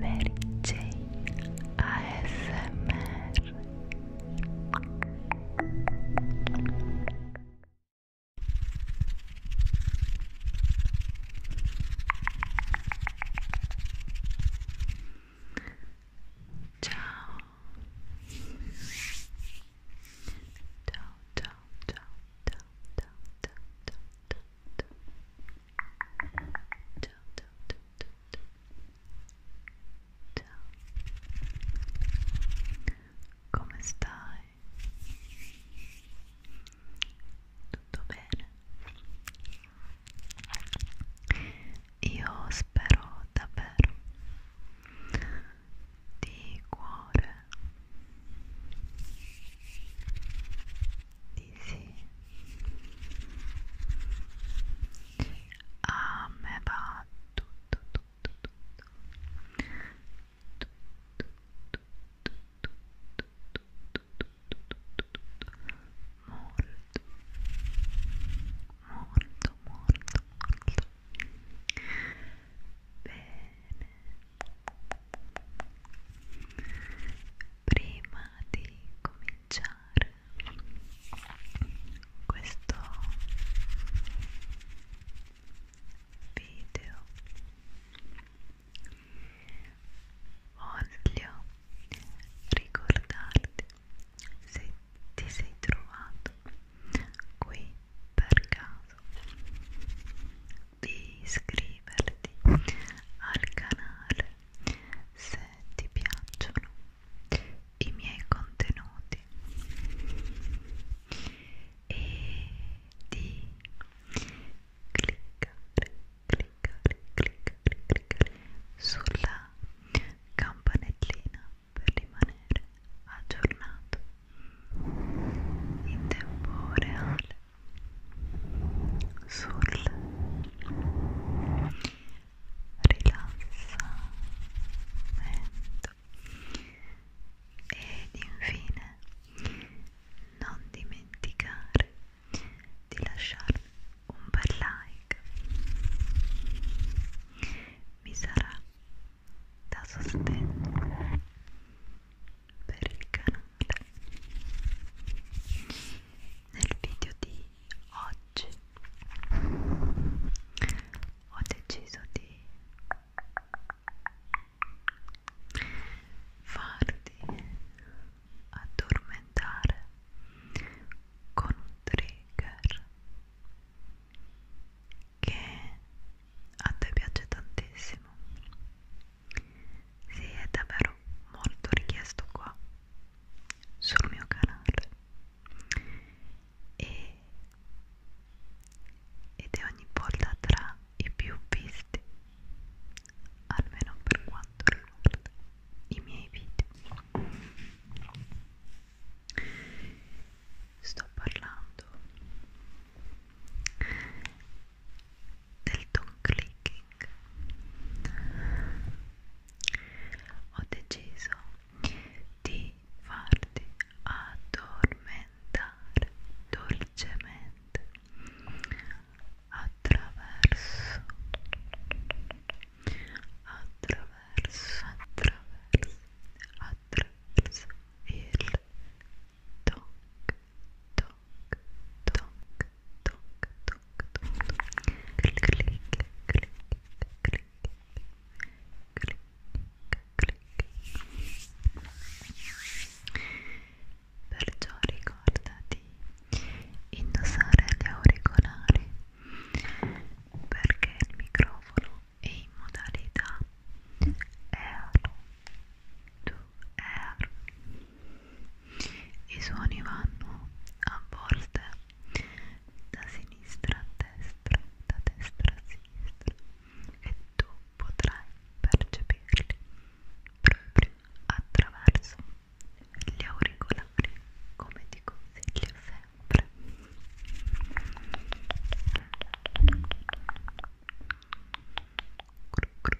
Mary Jane ASMR Ciao Ciao ciao ciao ciao ciao ciao ciao ciao ciao ciao ciao ciao ciao ciao come stai? tutto bene? io spero davvero di cuore dici a me va tutto tutto tutto tutto tutto tutto tutto tutto molto molto molto molto bene prima di cominciare questo video voglio ricordarti se ti sei trovato qui per caso di iscriverti al canale se ti piacciono i miei contenuti e di cliccare, cliccare, cliccare, cliccare sulla campanellina per rimanere aggiornato in tempo reale sul rilassamento ed infine non dimenticare di lasciarmi un bel like mi sarà da sostegno per il canale nel video di oggi ho deciso di farti addormentare con un trigger che a te piace tantissimo sì, è davvero molto richiesto qua sul mio canale e, ed è ogni volta tra i più visti almeno per quanto riguarda i miei video sto parlando del tongue clicking ho deciso di farti addormentare dolcemente attraverso attraverso attraverso attraverso il tongue Perciò ricorda di indossare gli auricolari perché il microfono è in modalità euro 2 euro i suoni vanno a volte da sinistra a destra, da destra a sinistra e tu potrai percepirli proprio attraverso gli auricolari come ti consiglio sempre cru, cru,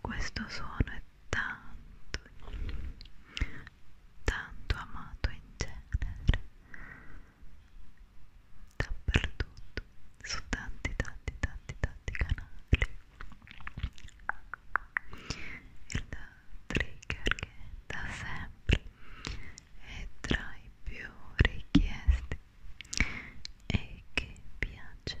Questo suono è tanto, tanto amato in genere, dappertutto, su tanti, tanti, tanti, tanti canali. Il trigger che da sempre è tra i più richiesti e che piace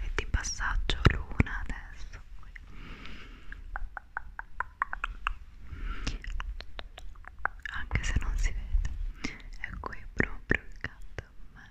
e di passaggio luna adesso qui. anche se non si vede è qui proprio accanto a me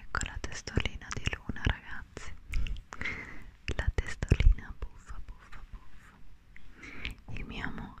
Ecco la testolina di Luna, ragazzi. La testolina buffa, buffa, buffa. Il mio amore.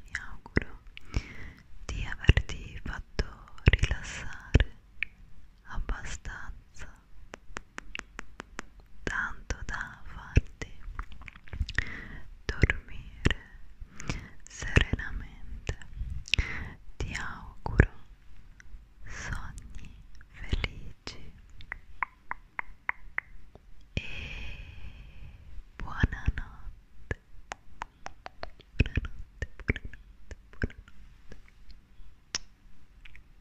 Mi auguro di averti fatto rilassare abbastanza tanto da farti dormire serenamente ti auguro sogni felici e buonanotte buonanotte buonanotte buonanotte